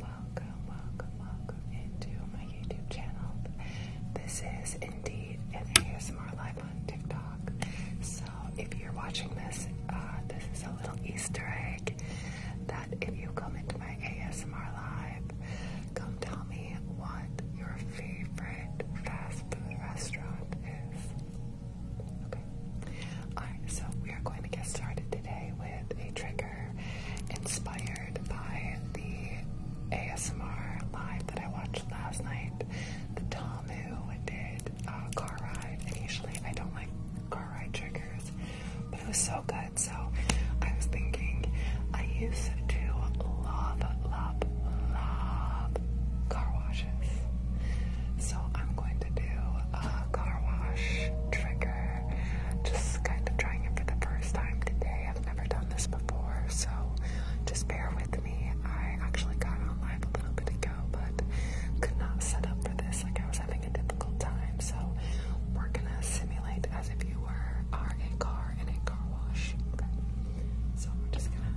Welcome, welcome, welcome into my YouTube channel. This is indeed an ASMR live on TikTok. So if you're watching this, uh, this is a little Easter egg that if you come into my ASMR live, come tell me what your favorite fast food restaurant is. Alright, so we are going to get started today with a trigger inspired by the ASMR live that I watched last night. The Tomu did uh, car ride, and usually I don't like car ride triggers, but it was so good. So I was thinking, I used to love, love, love car washes. So I'm going to do a car wash trigger just kind of trying it for the first time today. I've never done this before, so just bear with me. I actually got on live a little bit ago, but could not set up for this. Like I was having a difficult time, so we're gonna simulate as if you were are a car in a car wash. Okay. So we're just gonna.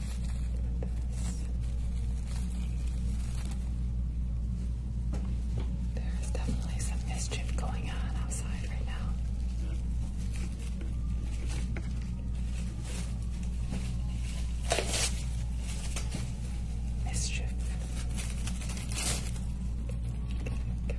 There is definitely some mischief going on outside right now. Mischief. Get the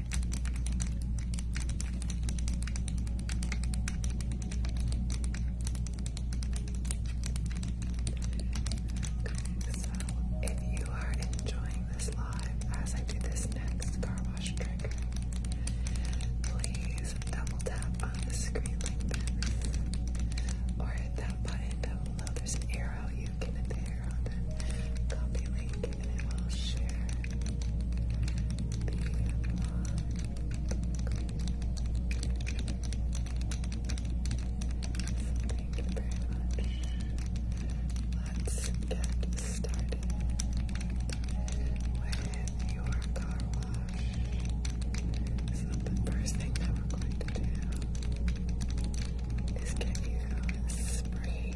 So, if you are enjoying this live as I do this next car wash trigger, please double tap on the screen like this or hit that button down below. There's an arrow there. you get there copy link, and I will share Thank you very much. Let's get started with your car wash. So the first thing that we're going to do is give you a spray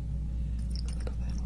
A little bit low.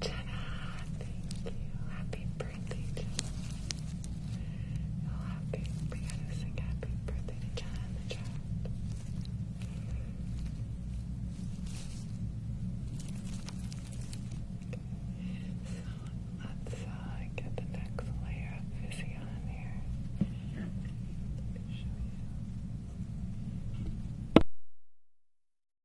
Jenna, thank you. Happy birthday, Jenna. Oh, happy, we gotta sing happy birthday to Jenna in So, let's get the next layer of fizzy here.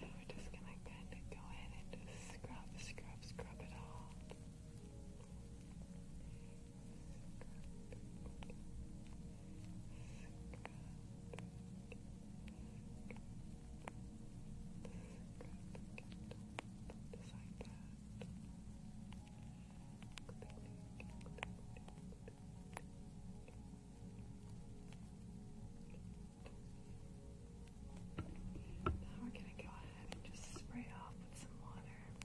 Now we're just gonna kind of go in and just scrub, scrub, scrub it all. Now we're going to go ahead and just spray off with some water. Okay,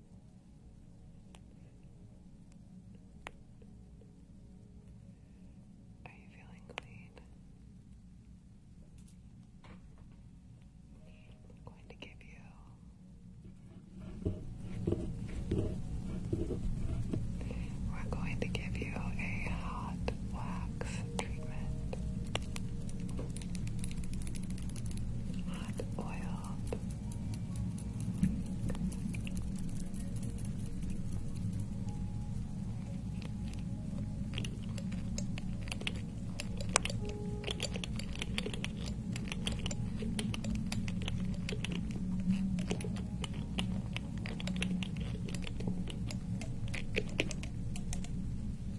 Are you feeling clean? I'm going to give you. We're going to give you a hot wax treatment hot oil.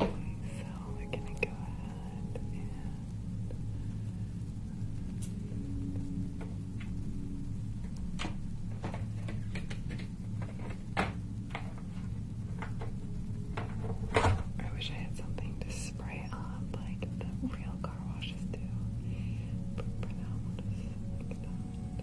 So we're gonna go ahead and I wish I had something to spray on like the real car washes do. But for now we'll just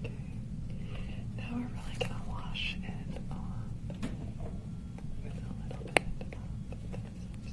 Okay. Now we're really gonna wash it on with a little bit of this.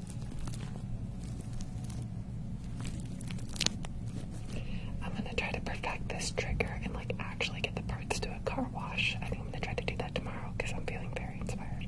I'm gonna try to perfect this trigger and like actually get the parts to a car wash. I think I'm gonna try to do that tomorrow because I'm feeling very inspired.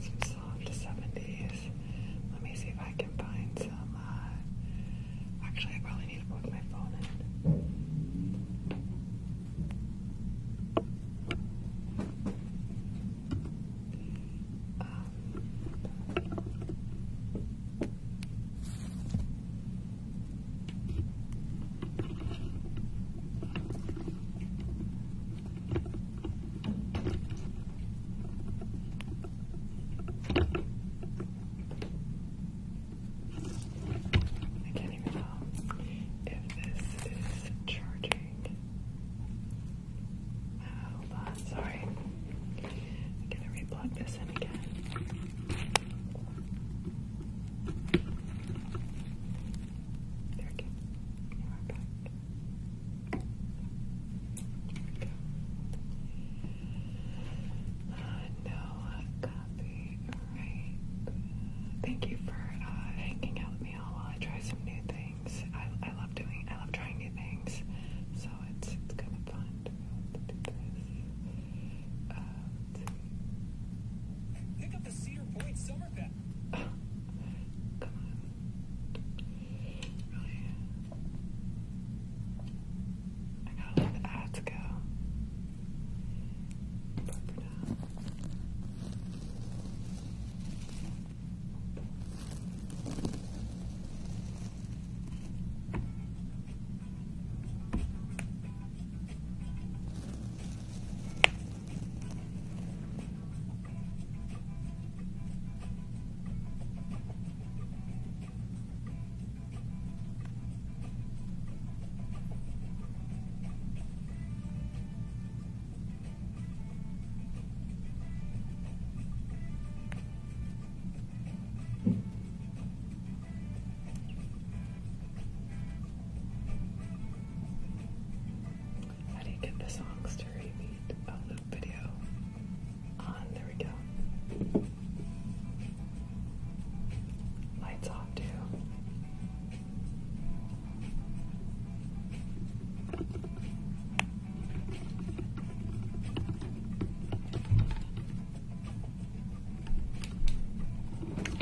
Some soft 70s. Let me see if I can find some uh, actually, I probably need to put my phone in. Um, I can't even tell if this is charging. Hold sorry. I'm gonna replug this in again. There we go no copy. Right. Thank you for uh, hanging out with me all while I try some new things. I, I love doing. I love trying new things. So it's it's kind of fun to do this. Um, Pick up the Cedar Point summer I gotta let the ads go. But now. How do you get the songs to repeat a loop video? There we go. Lights off too.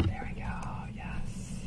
There we go, yes.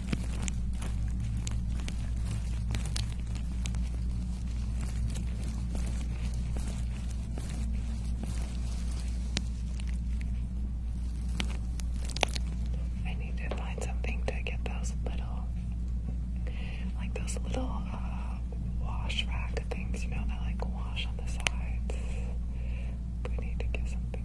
I need to find something to get those little, like those little uh, wash rack things, you know, that like wash on the sides. We need to get something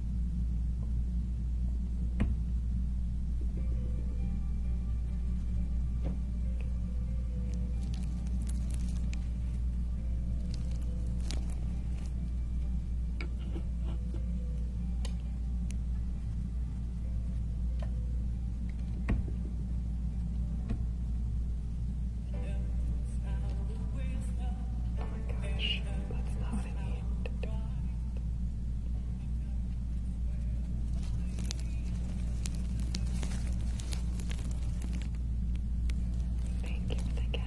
Oh my gosh, that's not Thank you for the cat,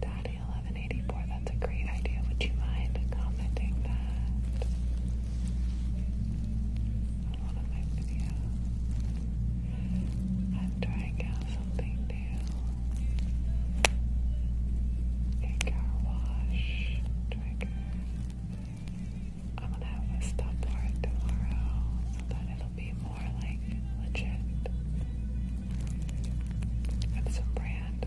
Daddy eleven eighty four. That's a great idea. Would you mind commenting that? on one of my videos. I'm trying out something new. A car wash trigger. I'm gonna have a stop tomorrow so that it'll be more like legit. It's a brand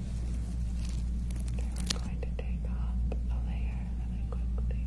Okay, we're going to take off a layer really quickly.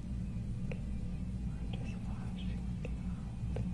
We're just washing it out. Just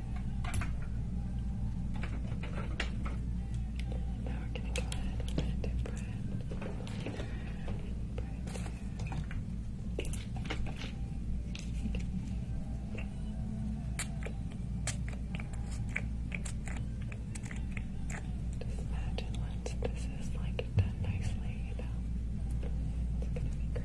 Now we're going to go ahead and blend it, Just imagine once this is like done nicely, you know, it's gonna be great.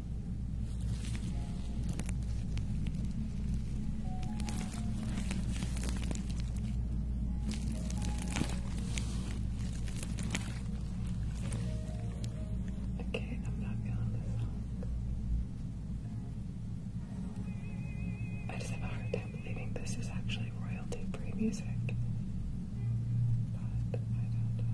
Okay, I'm not feeling this song. I just have a hard time believing this is actually royalty free music. But I don't know.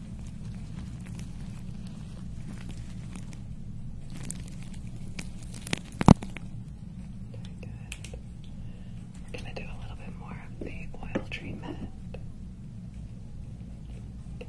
Very good. We're going to do a little bit more of the oil treatment. Okay, we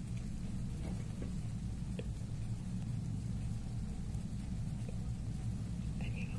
I need a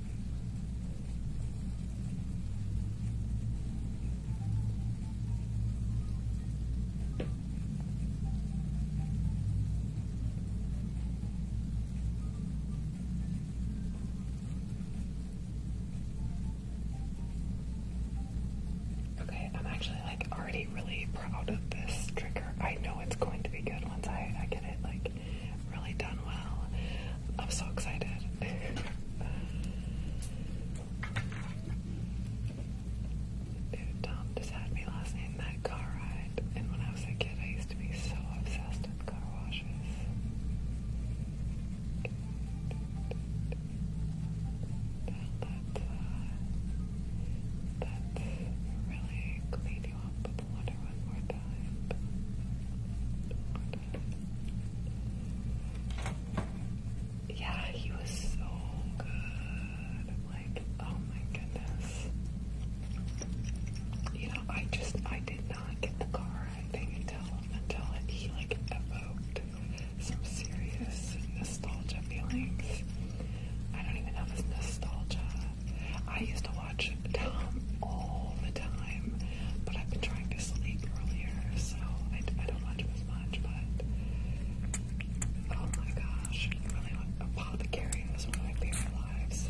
Okay, I'm actually like already really proud of this trigger. I know it's going to be good once I, I get it like really done well. I'm so excited. Tom just had me last in that car ride, and when I was a kid, I used to be so obsessed with car washes. Well, that, that really clean you up with the water one more time. Yeah, he was so good. Like, oh my goodness. You know, I just I did not get the car I think until until he like evoked some serious nostalgia feelings. I don't even know if nostalgia. I used to watch Tom all the time. But I've been trying to sleep earlier, so I, I don't watch as much. But oh my gosh, really, Apothecary was one of my favorite lives.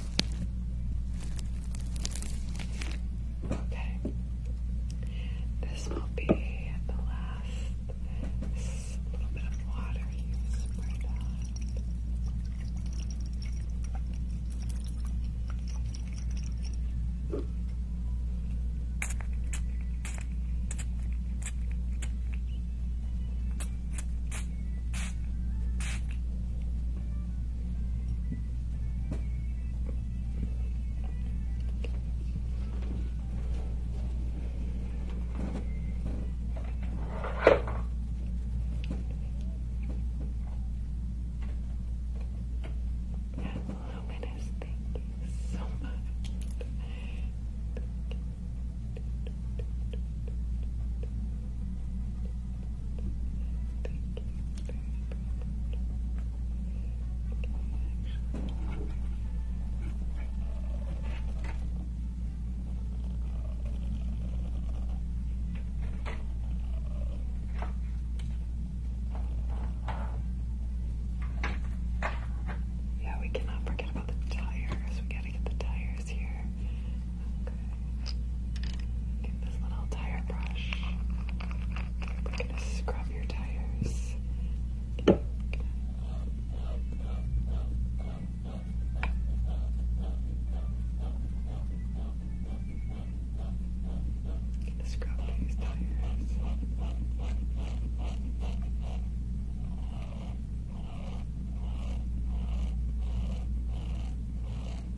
Okay. This will be the last little bit of water you sprayed on. Luminous, thank you so much. Thank you. Yeah, we cannot forget about the tires. We gotta get the tires here. Okay. Get this little tire brush. We're gonna scrub your tires. scrub these tires.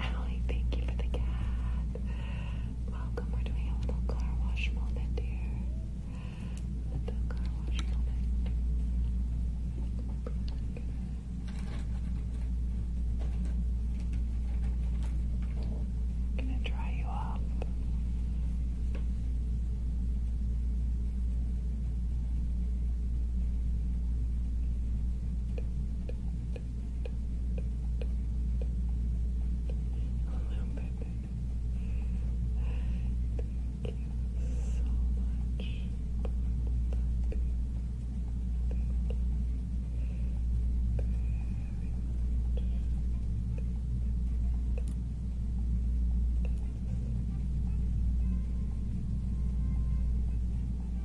Emily, thank you for the cat. Welcome, we're doing a little car wash moment here. Little car wash moment. gonna dry you up little bit. Thank you so much.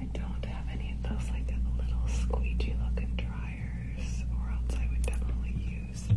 I don't have any of those like little squeegee looking dryers, or else I would definitely use it.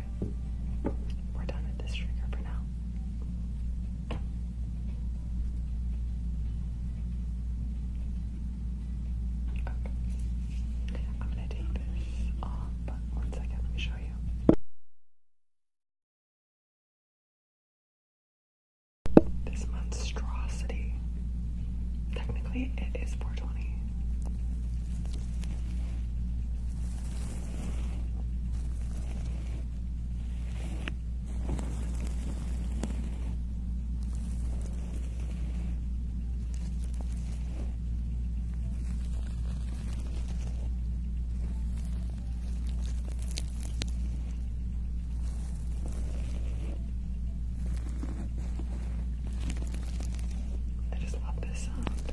We're done with this trigger for now. I'm gonna take this off, but one second, let me show you. This monstrosity. Technically, it is 420. I just love this sound.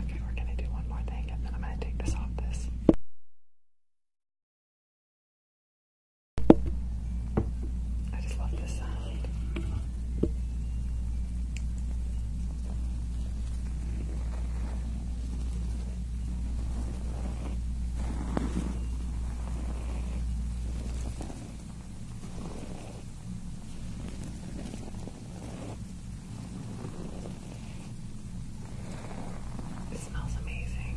Okay, we're gonna do one more thing and then I'm gonna take this off this. I just love this sound. It smells amazing.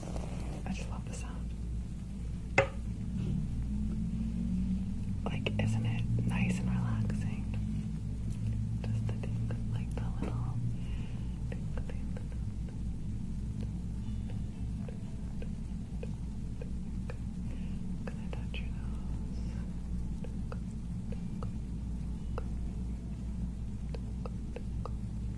I just love the sound. Like, isn't it nice and relaxing? Just the ding, like the little Can I touch your nose?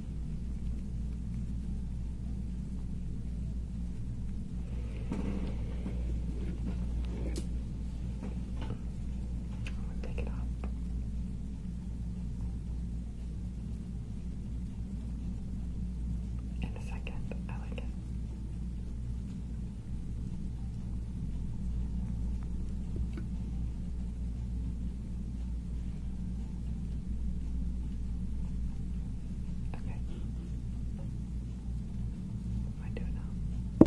I'm gonna In a second, I like it. Okay. I do now.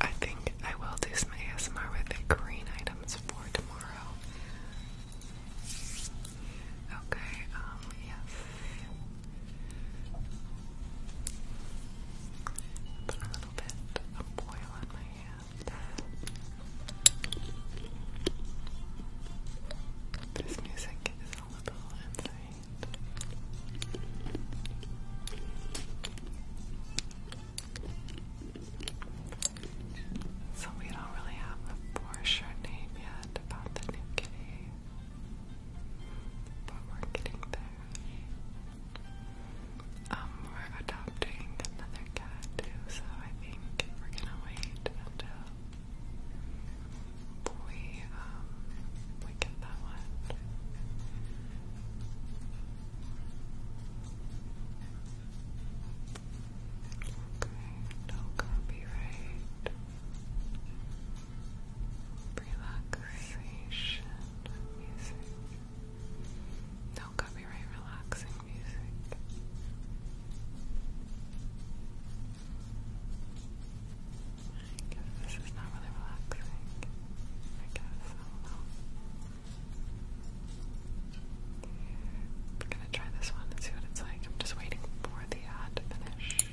I think I will do my ASMR with the green items for tomorrow. Okay, um, yes. Put a little bit of oil on my hand. This music is a little insane. So we don't really have a for name yet about the new kitty. But we're getting there. Um, we're adopting another cat too, so I think we're gonna wait until we um, we get that one. Okay, no copyright relaxation no copyright relaxing music. I guess this is not really relaxing. I guess I don't gonna try this one and see what it's like. I'm just waiting for the ad to finish.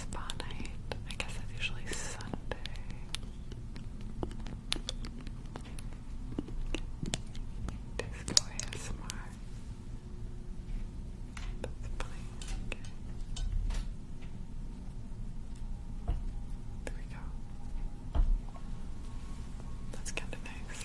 Spa night. I guess that's usually Sunday. Disco ASMR. That's funny. Okay. There we go. That's kind of nice.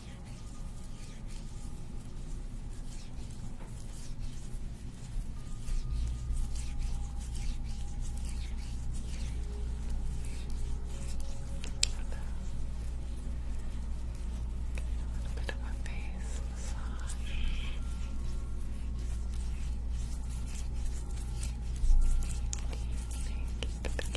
little bit of a face massage. Thank you. Thank you. Thank you.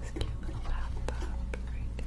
this cute little bathtub right here.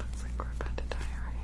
Looks like we're about to die already.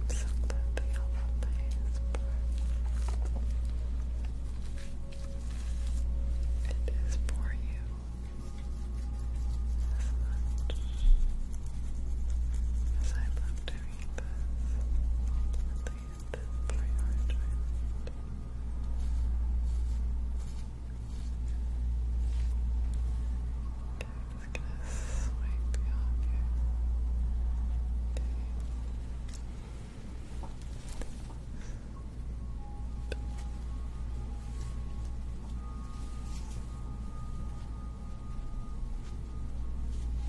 Absolutely lovely. It is for you as much as I love doing this and I'm just gonna swipe you off we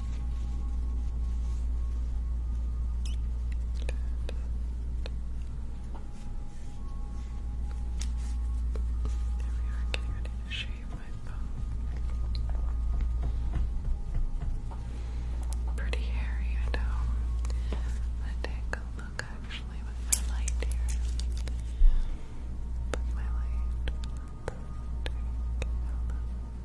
are getting ready to shave Pretty hairy, I know. Let's take a look actually with my light here. With my light.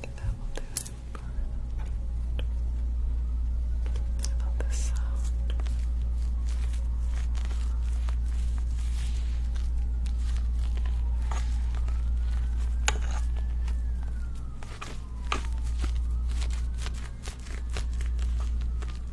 think that will do it for this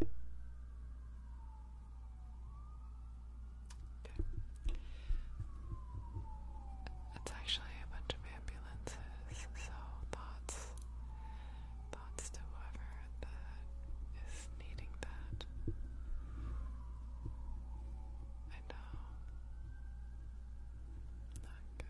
Okay. It's actually a bunch of ambulances, so thoughts, thoughts to whoever that is needing that. I know. Not good.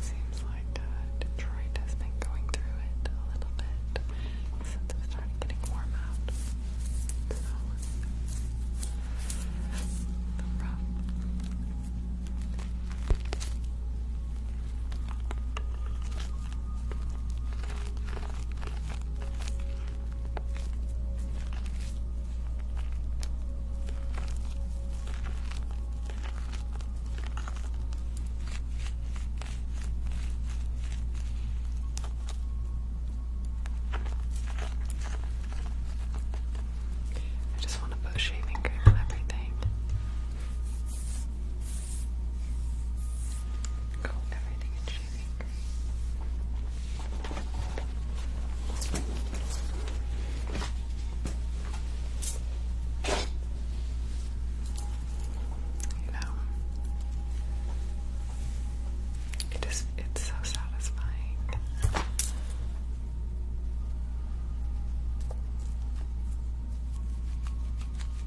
Seems like uh, Detroit has been going through it a little bit since it started getting warm out. So, rough. I just want to put shaving cream on everything everything in shaving You know, it is, it's so satisfying.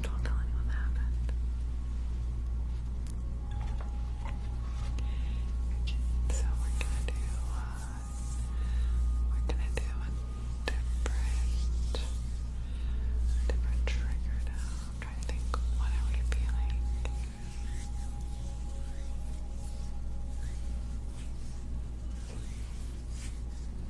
Don't tell anyone that happened. So we're gonna do uh, we're gonna do a different different trigger now. trying to think what are we feeling?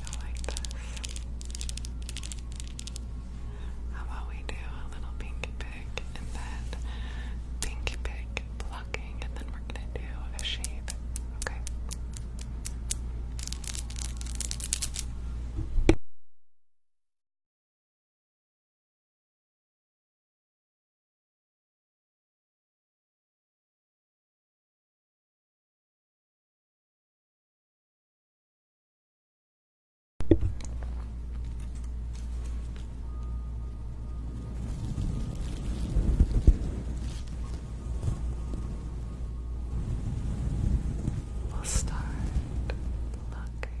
Go like this. How about we do a little pinky pig and then pinky pig plucking, and then we're gonna do a shave. Okay. We'll start plucking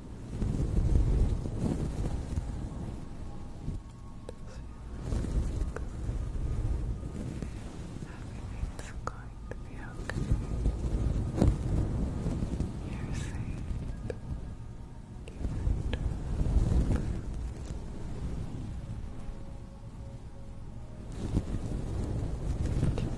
Everything's going to be okay. You're safe. You're Keep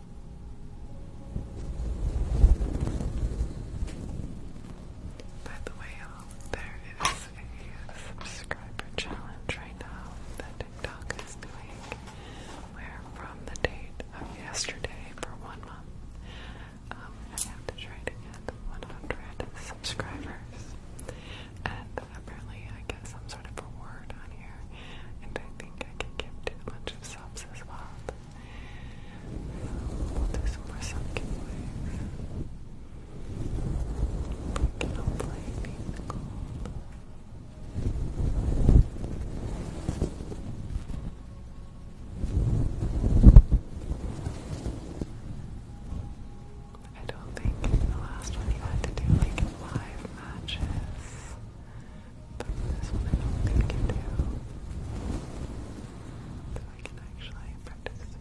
By the way, y'all, is a subscriber challenge right now that TikTok is doing, where from the date of yesterday for one month, um, I have to try to get 100 subscribers. And apparently, I get some sort of reward on here, and I think I can give too much of subs as well. We'll do some more sun giveaways. We can hopefully beat the I don't think in the last one you had to do like live matches. But this one I do you do. So I can actually participate.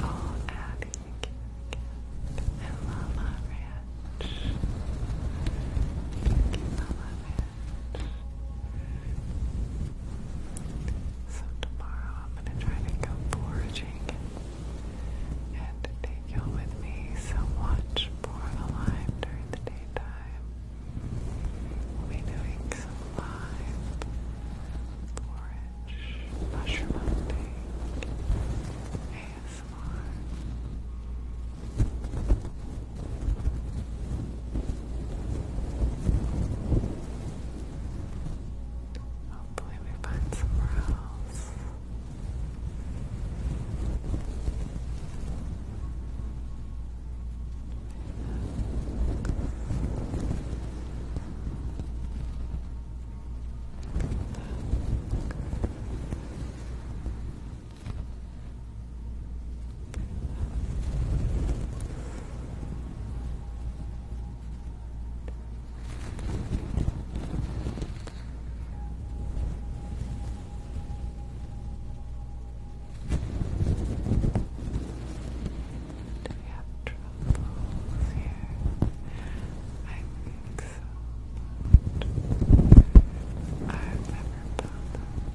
Oh, Abby and Mama Ranch. Thank you, Ranch. So tomorrow I'm gonna try to go foraging and take you with me. So watch for during the daytime. We'll be doing some live forage, mushroom ASMR. Hopefully, oh, we find somewhere else. Do we have troubles here? I think so. I've never found them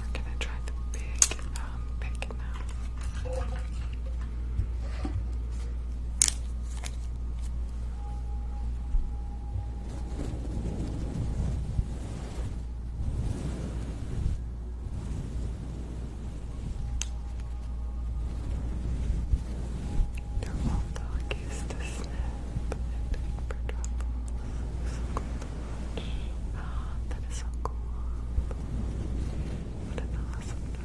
We're gonna try the big um pick now. They're all dog case to snap for trouble. that is so cool. What an awesome dog.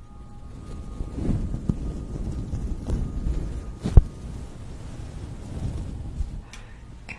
And the crown. Good.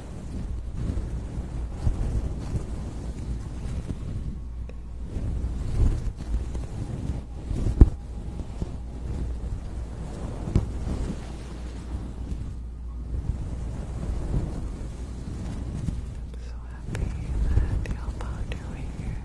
I'm so happy that y'all found your way here.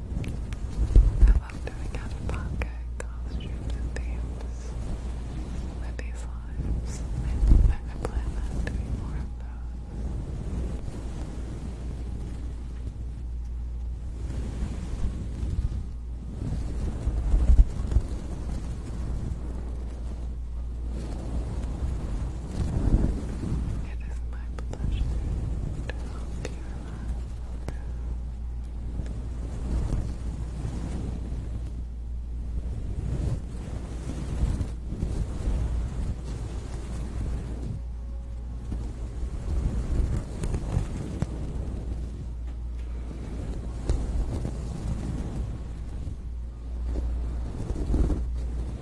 I love doing out of pocket costumes and themes with these lives. I, I plan on doing more of those. It is my pleasure to help you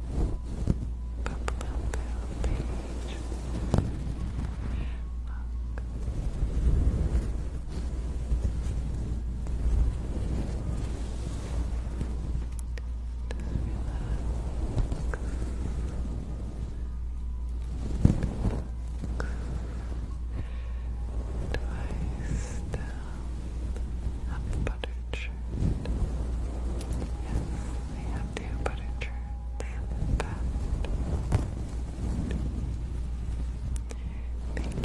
Twice down, up buttered shirt. Yes, have two buttered shirts. They Thank you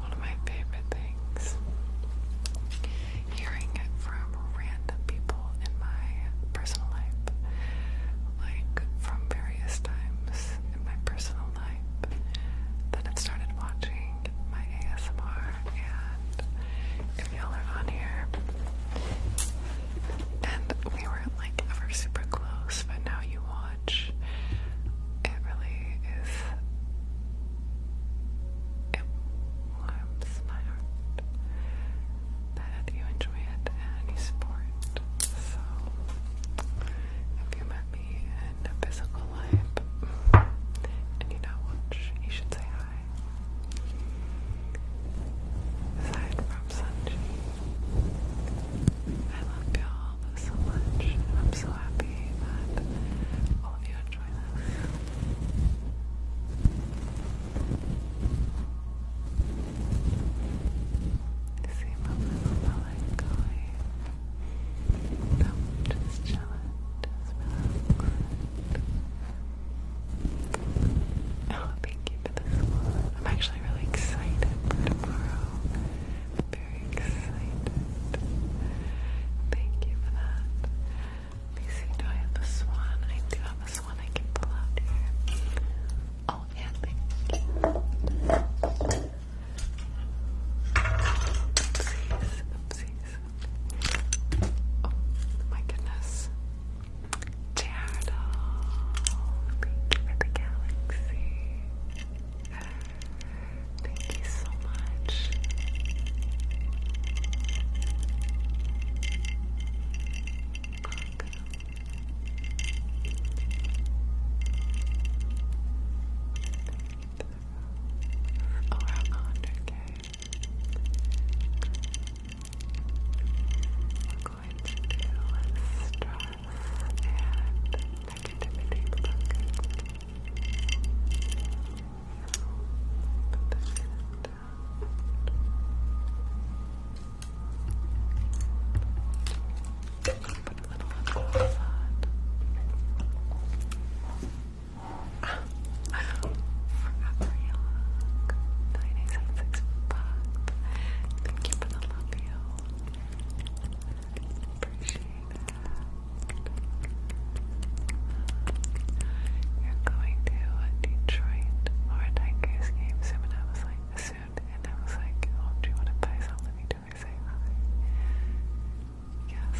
one of my favorite things. Hearing it from random people in my personal life, like from various times in my personal life, that it started watching my ASMR, and if y'all are on here, and we weren't like ever super close, but now you want much. It really is. It warms my heart that you enjoy it and you support. So, if you met me in physical life and you don't you should say hi. Aside from Sanji, I love y'all so much. I'm so happy that all of you enjoy this. see my little melancholy. No, just chilling, just relaxing. Oh, thank you this one. I'm actually really excited for tomorrow very excited. Thank you for that. do I have a swan? I do have a swan I can pull out here. Oh, and thank you. Oh, my goodness. Jared, thank you for the galaxy. Thank you so much. Welcome. Oh, going to do stress and negativity Put the fan down. Put a Thank you for the love you. Appreciate you're going to Detroit or a game soon, and I was like, soon, and I was like, oh, do you want to buy something? Do I say hi? Yes,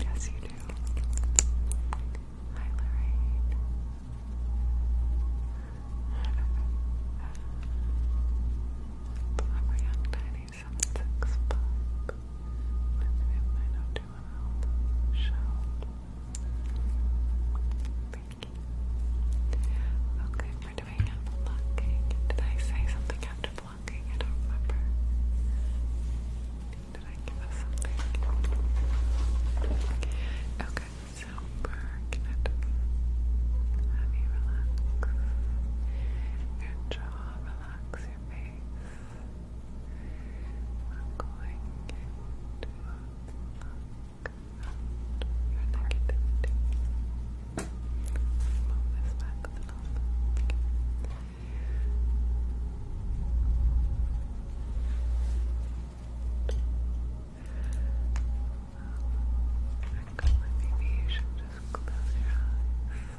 yes you do. Hi, Lorraine. I'm a young tiny seven, six, five. Wednesday, nine oh two and out. Shout. Thank you. Okay, we're doing a blocking. Did I say something after blocking? I don't remember. Did I give us something? Okay, so burn Honey, relax. Your jaw, relax relax your face. I'm going to pluck out your Move this back a little maybe you should just close your eyes.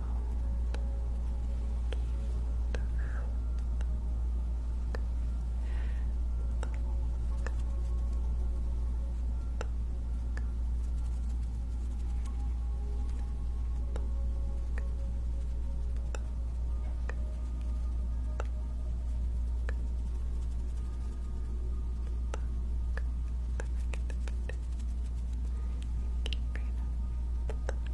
Keep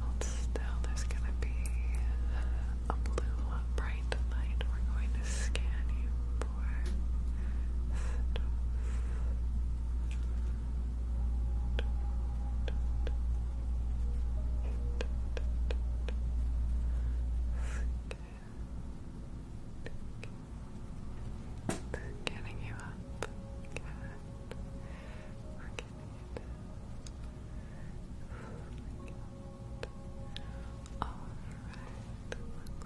Hold still. There's going to be a blue, bright light. We're going to scan you for Getting you up. getting you down. Alright. Looks like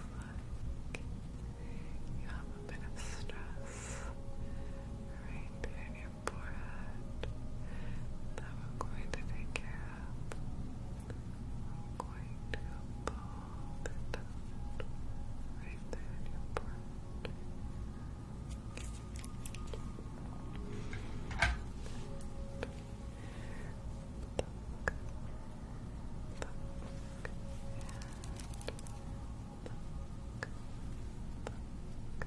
you have a bit of stress right forehead that we going to take care of. I'm going to fold it right there in your forehead. Look, look, and look, look. Look, look,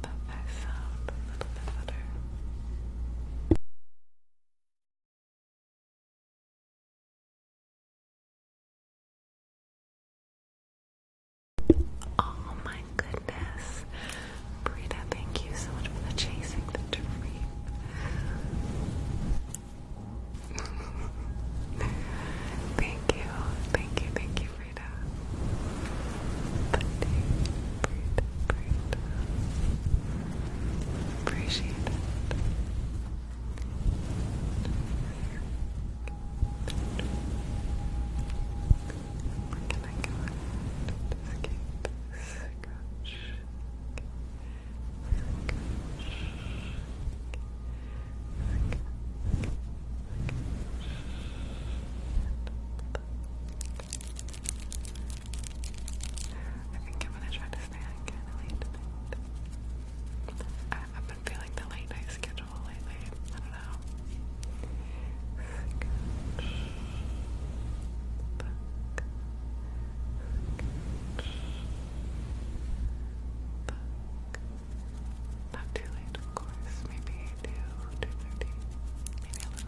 Oh my goodness. Brita, thank you so much for chasing the dream. thank you. Thank you. Thank you Brita, Bundy, Brita, Appreciate it. Where can I go? Escape, scratch. Scratch. I think I'm gonna try to stay out kind late I, have been feeling the late night schedule lately. I don't know. Not too late, of course. Maybe 2, 2.30. Maybe a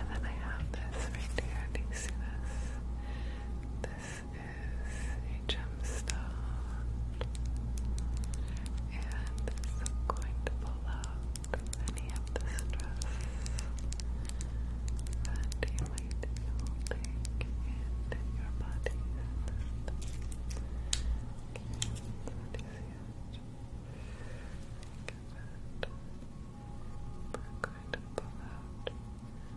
And then I have this right here. Do you see this? This this is a gemstone, and this going to pull out any of the stress that you might be holding in your body. Okay, so that is huge. We're going to pull out.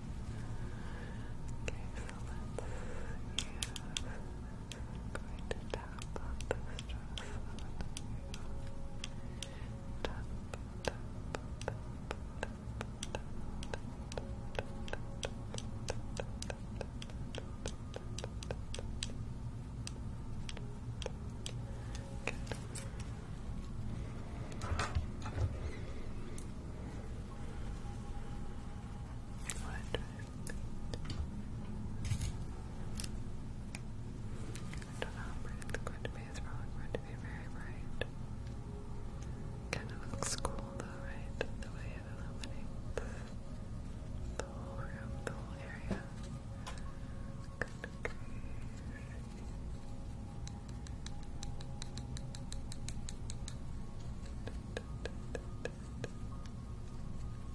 Okay, so let's use going to tap on the stress on you. Tap, tap, tap, tap, tap, Good. I don't know it's going to be. It's probably going to be very bright. Kind of looks cool though, right? The way it illuminates the whole room, the whole area.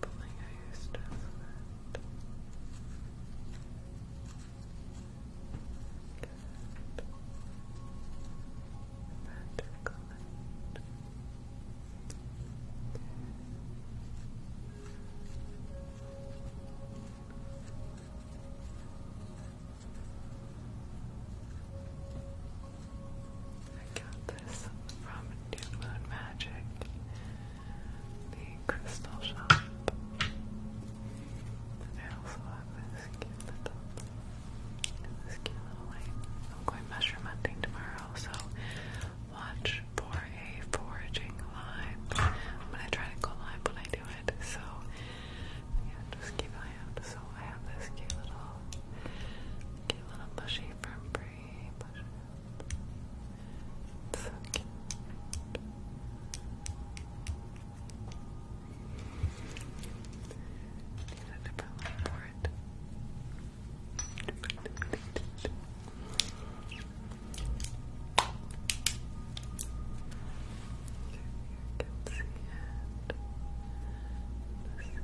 Pulling out your stress with. Good. Magical light. Good. I got this from New Moon Magic, the crystal shop. I also have this cute little, this cute little light. I'm going mushroom hunting tomorrow, so watch for a foraging live. I'm gonna try to go live when I do it, so yeah, just keep an eye out. So I have this cute little Get a little bushy from Bree. So cute. Need a different for it. Here you can see it.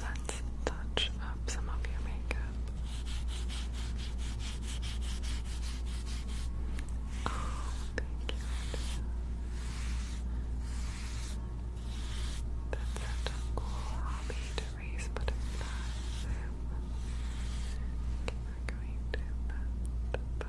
Let's touch up some of your makeup. Oh, thank you. That's such a cool hobby to raise butterflies. Okay, we going to put, put, put.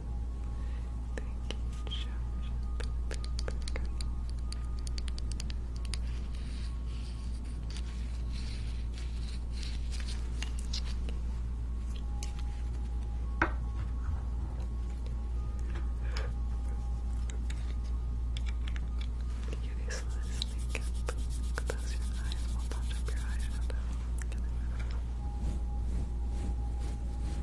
Thank you, Josh. Get these slides link up. Close your eyes. We'll touch up your eyes. Get it. Thank you,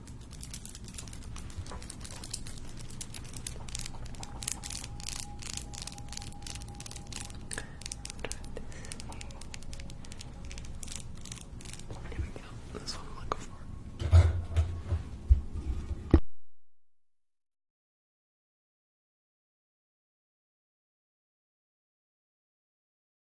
Here we go. That's what I'm looking for.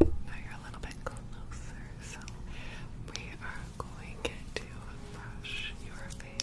Now you're a little bit closer, so we are going to brush your face.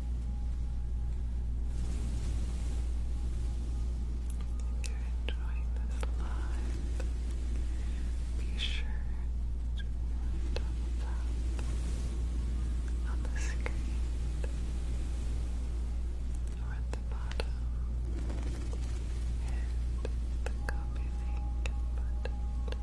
If you're enjoying this live, be sure to thumbs up on the screen or at the bottom and the copy link button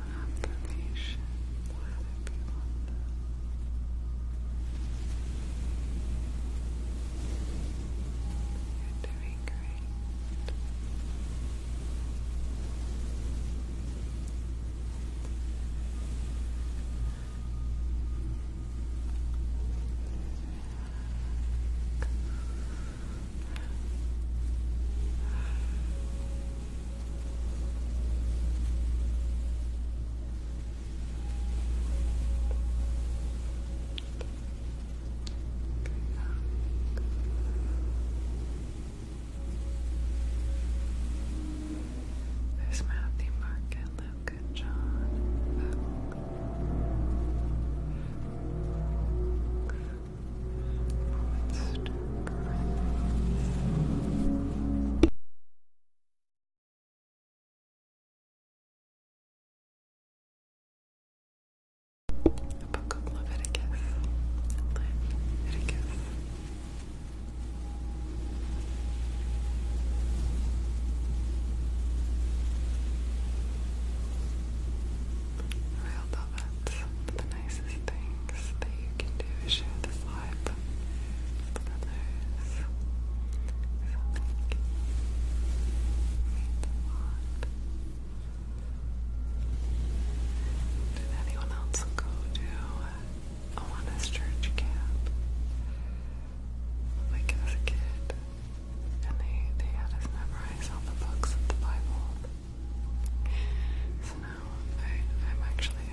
of an affirmation. Why would you are doing great. There's Matthew, Mark, and Luke, and John. Constant the book of Leviticus. Leviticus. Real velvet, the nicest things that you can do. Share this live with others. So thank you. Did anyone else go to Alana's church camp? Like as a kid. And they, they had us memorize all the books of the Bible. So now I, am actually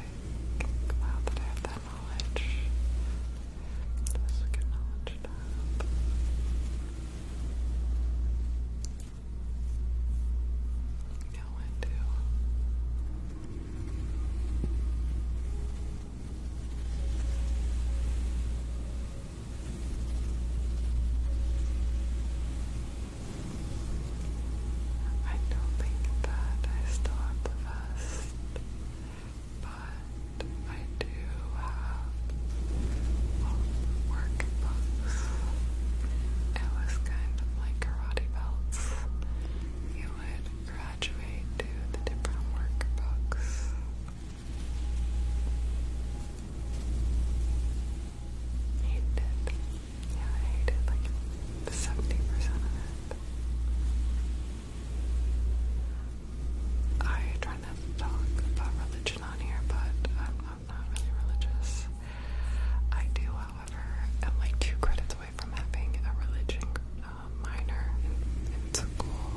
glad that I have that knowledge. This is good knowledge to have. You know what I don't think that I still the vest, but I do have well, It was kind of like karate belts. You would graduate to the different work I hated Yeah, I hated like 70% of it. I try not to talk about religion on here, but I'm, not really religious. I do, however, am like two credits away from having a religion um, minor in school,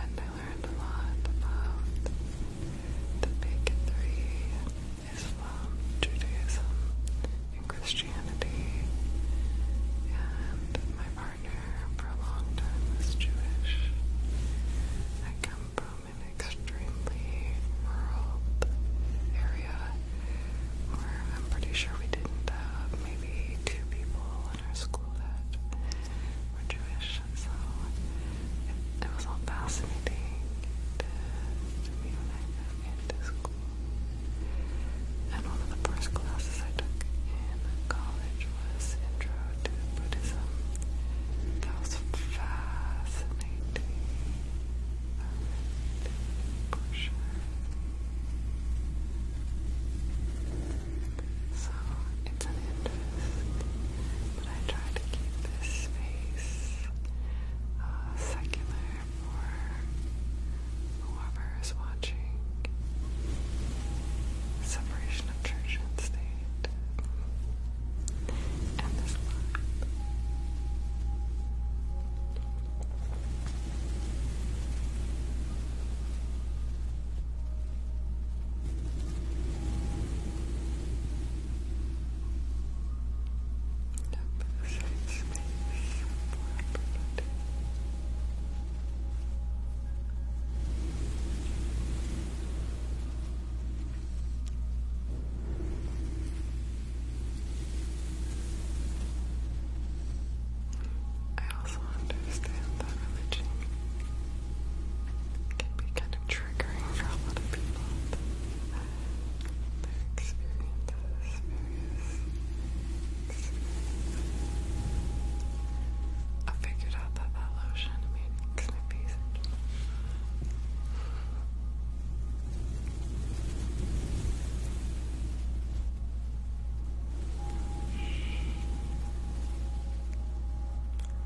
and I learned a lot about the big three Islam, Judaism, and Christianity. And my partner for a long time was Jewish. I come from an extremely rural area where I'm pretty sure we didn't have maybe two people in our school that were Jewish so it, was all fascinating to, me when I got into school. And one of the first classes I took in college was Intro to Buddhism. That was fascinating. For sure. So it's an interest but I try to keep this space uh, secular for whoever is watching. Separation of church and state. And this life. I also understand that religion can be kind of triggering for a lot of people. Their experiences, various I figured out that that lotion made snippies.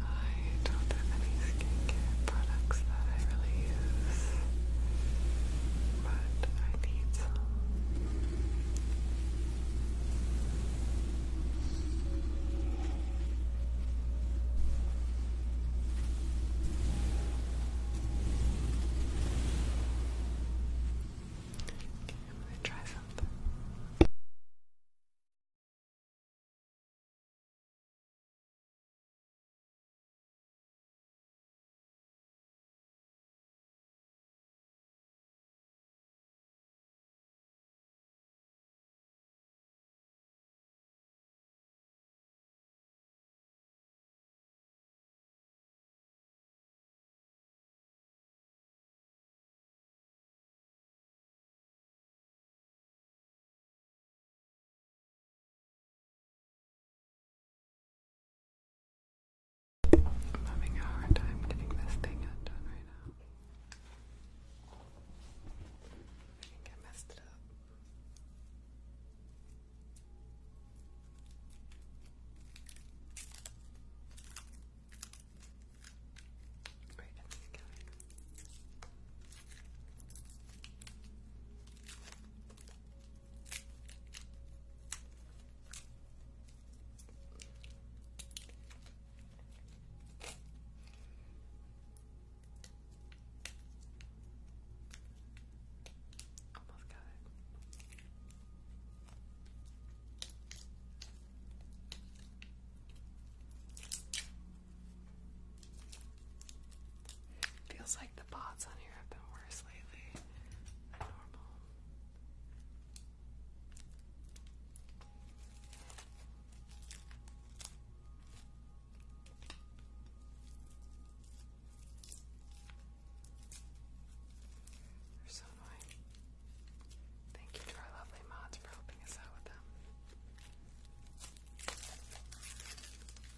I don't have any skincare products that I really use, but I need some. I'm gonna try something. I'm having a hard time getting this thing undone right now. I think I messed it up. Right on this counter. Almost got it. Feels like the pots on here have been worse lately than normal. They're so annoying. Thank you to our lovely mods for helping us out with them.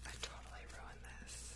I totally ruined this.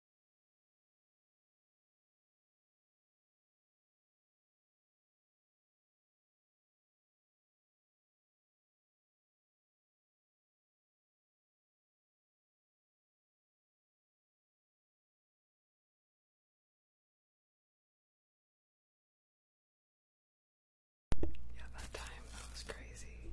Yeah, that time that was crazy.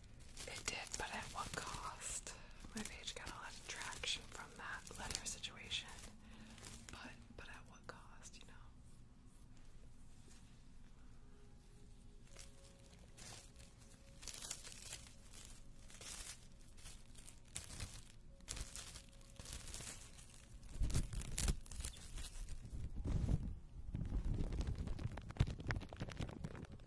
It did, but at what cost? My page got a lot of traction from that letter situation. But but at what cost, you know?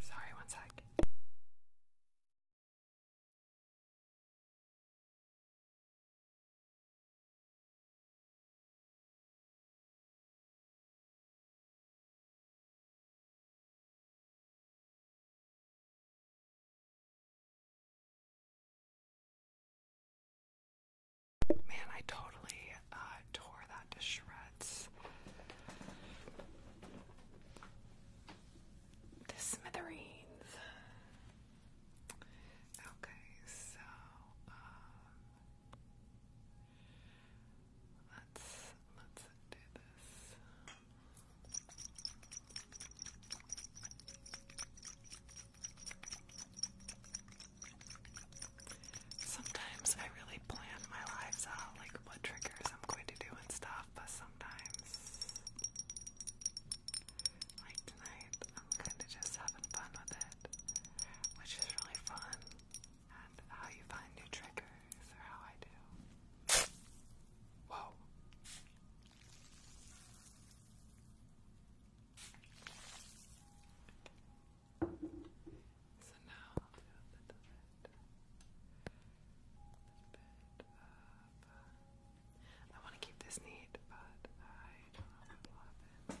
Sorry, one sec. Man, I totally uh, tore that to shreds. The smithereens. Okay, so um, let's let's do this. Sometimes I really plan my lives out, like what triggers I'm going to do and stuff, but sometimes, like tonight, I'm kind of just having fun with it, which is really fun. how you find new triggers, or how I do. Whoa. So now uh, i want to keep this neat, but I don't know what will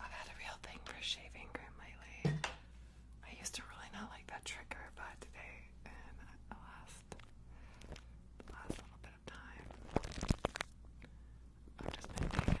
I've had a real thing for shaving cream lately. I used to really not like that trigger, but today and the last, last little bit of time, I've just been taking it.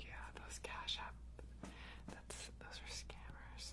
Yeah, those Cash App, that's, those are scammers.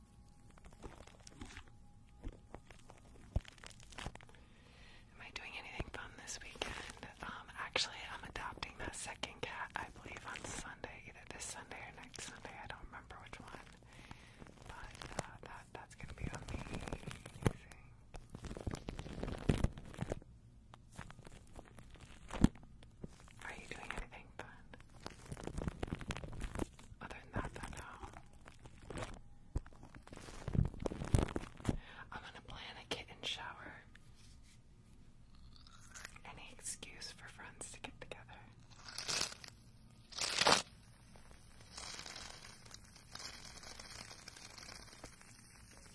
Am I doing anything fun this weekend? Um, actually, I'm adopting that second cat, I believe, on Sunday, either this Sunday or next Sunday. I don't remember which one. But uh, that, that's going to be amazing. Are you doing anything fun? Other than that, no. I'm gonna plan a kitten shower. Any excuse for friends to get together.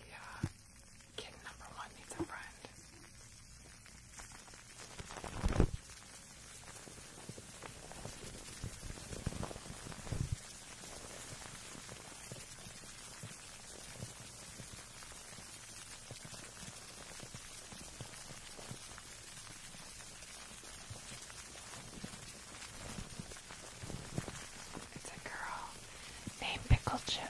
Yeah, kitten number one needs a friend. It's a girl named Pickle Chip.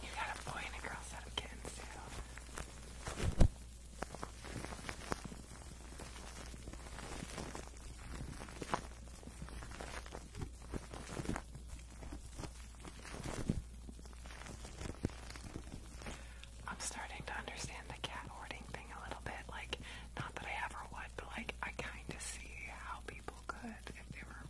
You got a boy and a girl set of kittens too. I'm starting to understand the cat hoarding thing a little bit. Like, not that I ever would, but like, I kind of see how people could if they were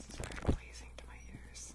This is very pleasing to my ears.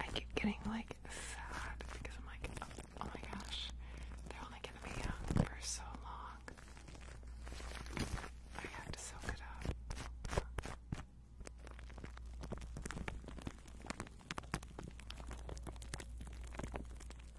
I keep getting like sad because I'm like, oh, my gosh, they're only gonna be young for so long. I have to soak it up.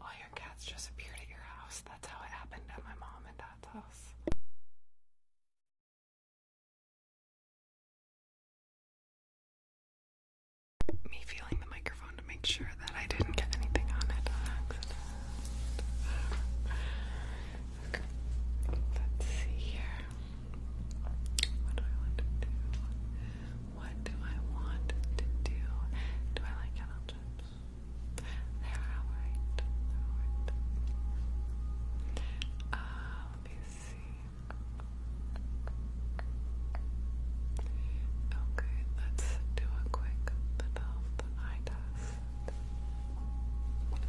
All your cats just appeared at your house. That's how it happened at my mom and dad's house. Me feeling the microphone to make sure that I didn't get anything on it accident. Let's see here. What do I want to do? What do I want to do? Do I like kettle They're alright. they uh, let me see. Okay, let's do a quick little eye test. A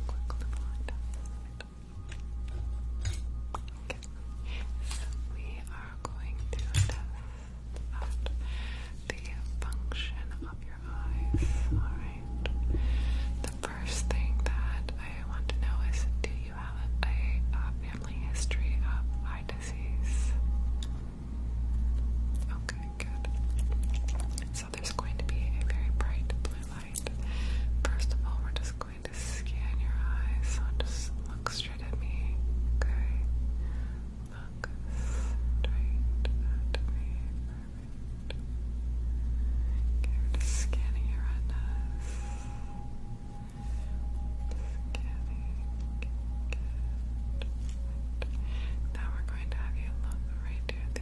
quick little eye test. So we are going to test out the function of your eyes. Alright. The first thing that I want to know is do you have a family history of eye disease? Okay, good. So there's going to be a very bright blue light light. First of all, we're just going to scan your eyes. So just look straight at me. Okay. Look straight at me. we're just scanning your retinas. Scanning. Now we're going to have you look right here the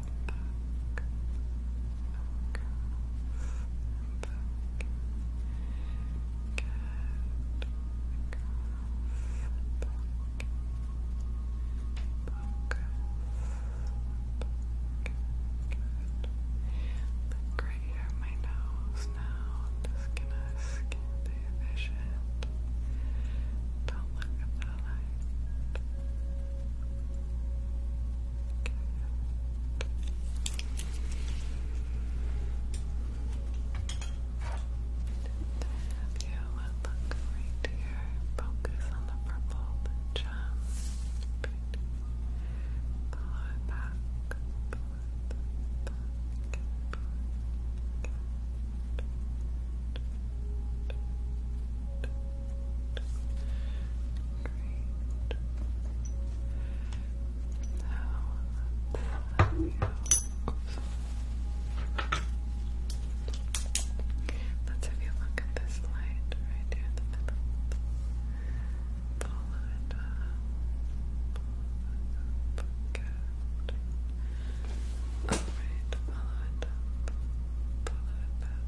Look right here at my nose now. I'm just gonna scan the vision. Don't look at the light. Good have you look right here. Focus on the purple gem. Pull it back. Great. let's have you look at this light right here in the middle. Follow it up. Good. Alright, follow it up. Follow it back.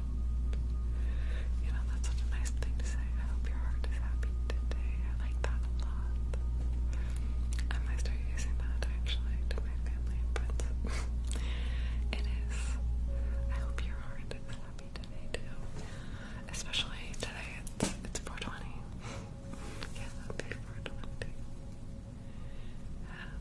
You know, that's such a nice thing to say. I hope your heart is happy today. I like that a lot. I might start using that actually to my family and it is. I hope your heart is happy today too. Especially today, it's, it's 420. yeah, that 420. Happy um,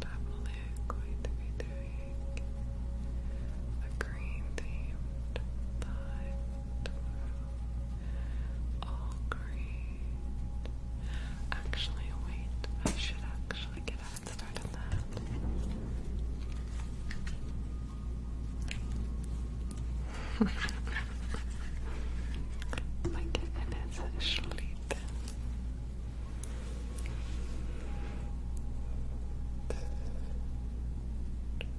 Definitely going to be doing a green themed live Oh, All Actually, wait, I should actually get a head start on that. My kitten asleep.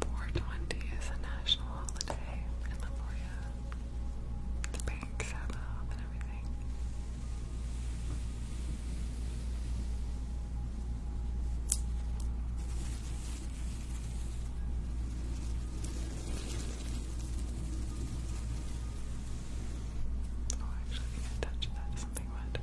420 is a national holiday in Lemuria. The banks have off and everything. Oh, actually, I I touched that something wet. Like that.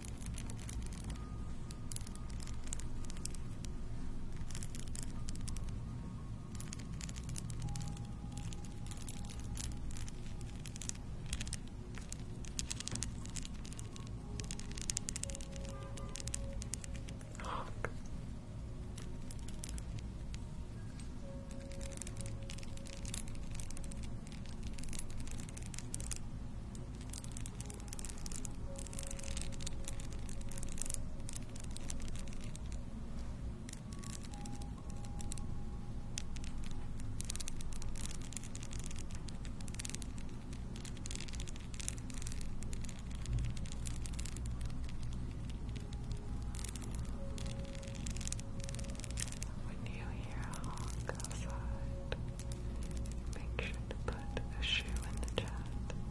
Honk. When you hear a honk outside, Make sure to put a shoe in the chat.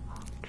Hawk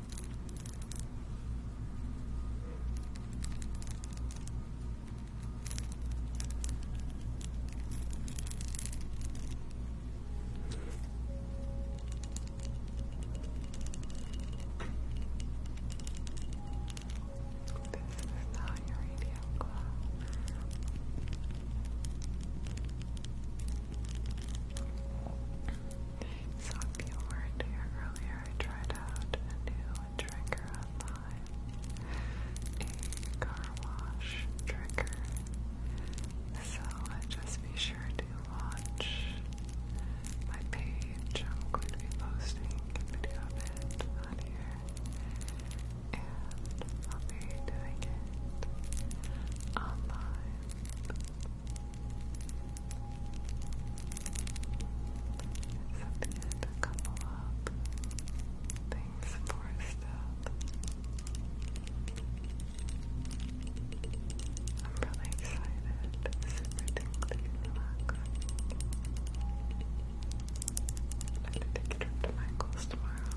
This is not your ideal glow. So if were here earlier, I tried out a new trigger online, a car wash trigger. So just be sure to watch my page. I'm going to be posting a video of it on here, and I'll be doing it online. So there's a couple of things for stuff. I'm really excited. Super tingly, relaxed. I have to take a trip to Michael's tomorrow.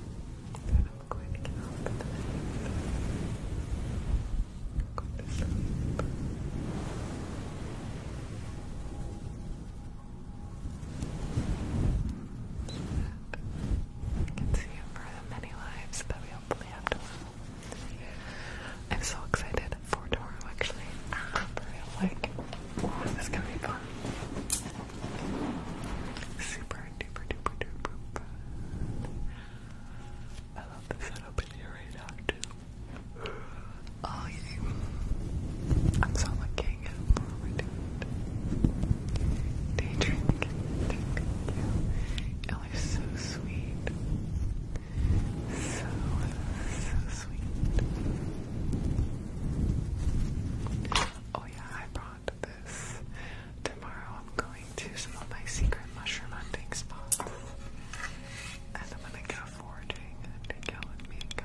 I'm going to get off the i to sleep. So I can see you for the many lives that we hopefully have tomorrow. I'm so excited for tomorrow, actually. Ah, for real, like, this is gonna be fun. Super duper duper duper I love the setup in here right too. Oh yeah. I'm so lucky. Day drink. you. you are so sweet. So, so sweet. Oh yeah, I bought this. Tomorrow I'm going to some of my secret mushroom hunting spots. And I'm gonna go foraging and y'all with me and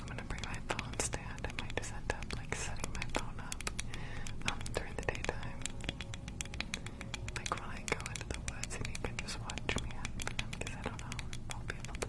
I'm gonna bring my phone stand. I might just like setting my phone up um, during the daytime. Like when I go into the woods and you can just watch me because I don't know I'll be able to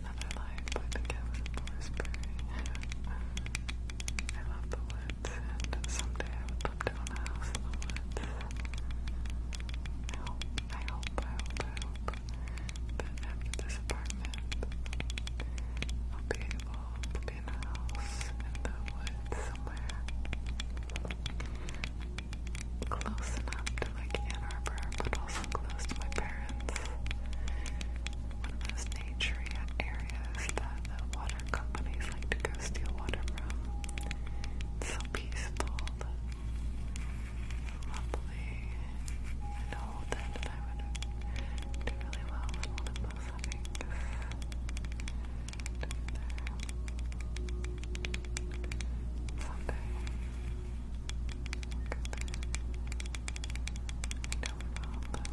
Another Life by Kevin Borsberry. I love the woods, and someday I would love to a house in the woods. I hope, I hope, I hope, that after this apartment, I'll be able to be a house in the woods somewhere close enough to like Ann Arbor, but also close to my parents one of those nature areas that the water companies like to go steal water from. It's so peaceful, lovely, and old, and I would do really well in one of those things. Someday. Look at that. I coming up.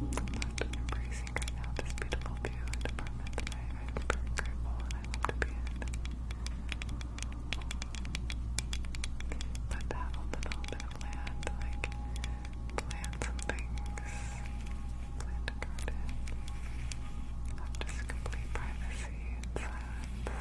I'm embracing right now this beautiful view and apartment that I, I'm very I love to be in. to have a little bit of land, like plant some things, plant a garden, just complete privacy and the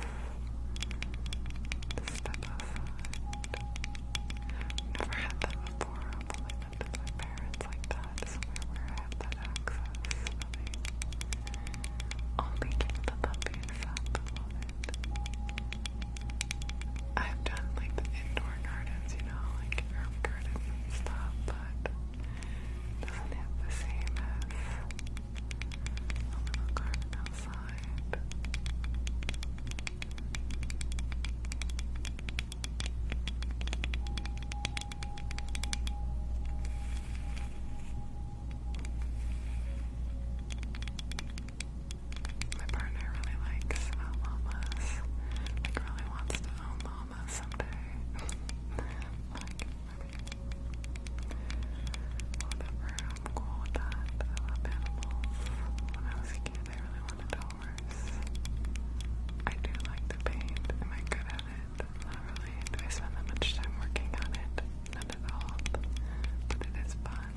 Never had that before. I've only been to parents like that, somewhere where I have that access. Really. Only keep the puppy inside I've done like the indoor gardens, you know, like herb gardens and stuff, but not the same as a little garden My partner really likes llamas. Like really wants to own llamas someday. like, whatever am cool with that. I love animals. When I was a kid, I really wanted a I do like to paint. Am I good at it? Not really. Do I spend that much time working on it? Not at all. But it is fun.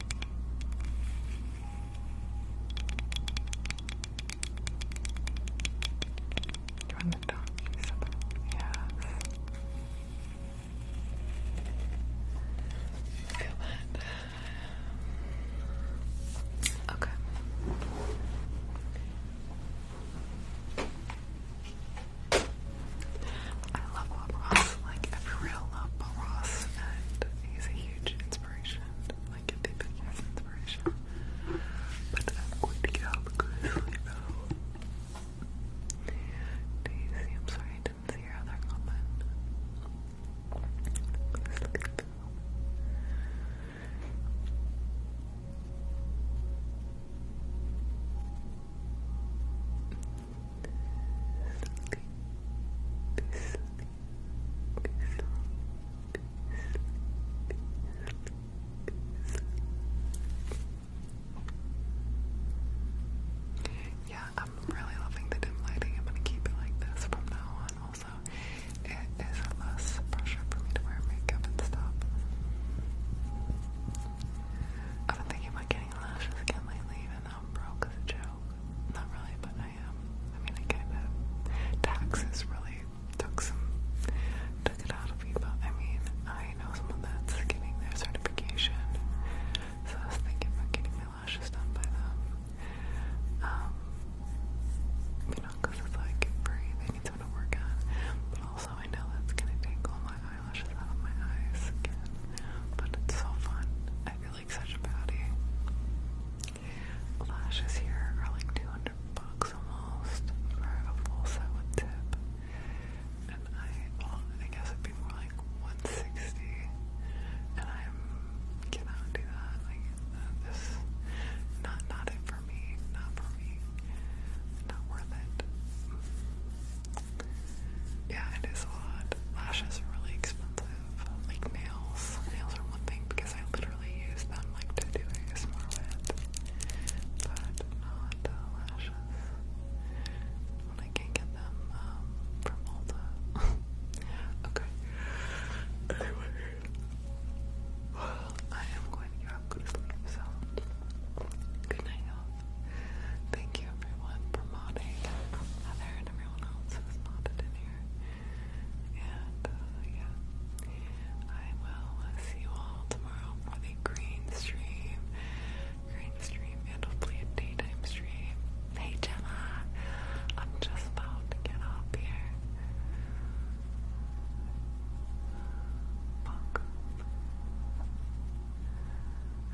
Do you want to Okay. I love Bob Ross, like every real love Bob Ross, and he's a huge inspiration, like a big biggest inspiration. But I'm going to get up because I know. Daisy, I'm sorry I didn't see your other comment. let yeah, I'm really loving the dim lighting. I'm gonna keep it like this from now on. Also, it is less pressure for me to wear makeup and stuff. I've been thinking about getting lashes lately, even I'm broke as a joke. Not really, but I am. Um, I mean, I Taxes really took some. took it out of me, but I mean, I know someone that's getting their certification. So I was thinking about getting my lashes done by them. Um, you know, it's like free, they need to work on. But also, I know that's gonna take all my eyelashes out of my eyes again. But it's so fun. I feel like such a baddie. Lashes here are like 200 bucks almost for a full set with tip. And I, I guess it'd be more like 160 and I cannot do that. Like, uh, this, not, not it for me, not for me, not worth it. Yeah, it is a lot. Lashes are really expensive. Like nails. Nails are one thing because I literally use them like to do ASMR with. But not lashes. When I can get them um, from Ulta. okay. Anyway. I am going to go, to sleep, so good night, Thank you, everyone, for modding. Heather everyone else who's nodded in here. And uh, yeah, I will uh, see you all tomorrow for the green stream, green stream, and hopefully a daytime stream. Hey Gemma, I'm just about to get up here.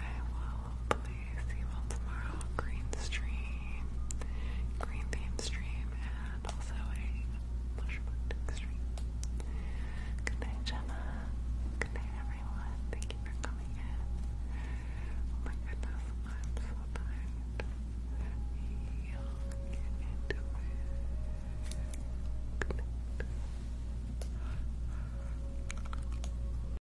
I will hopefully see you all tomorrow. Green stream, green theme stream, and also a mushroom stream. Good night, Gemma. Good night, everyone. Thank you for coming in. Oh my goodness, I'm so tired. Y'all get into Good night.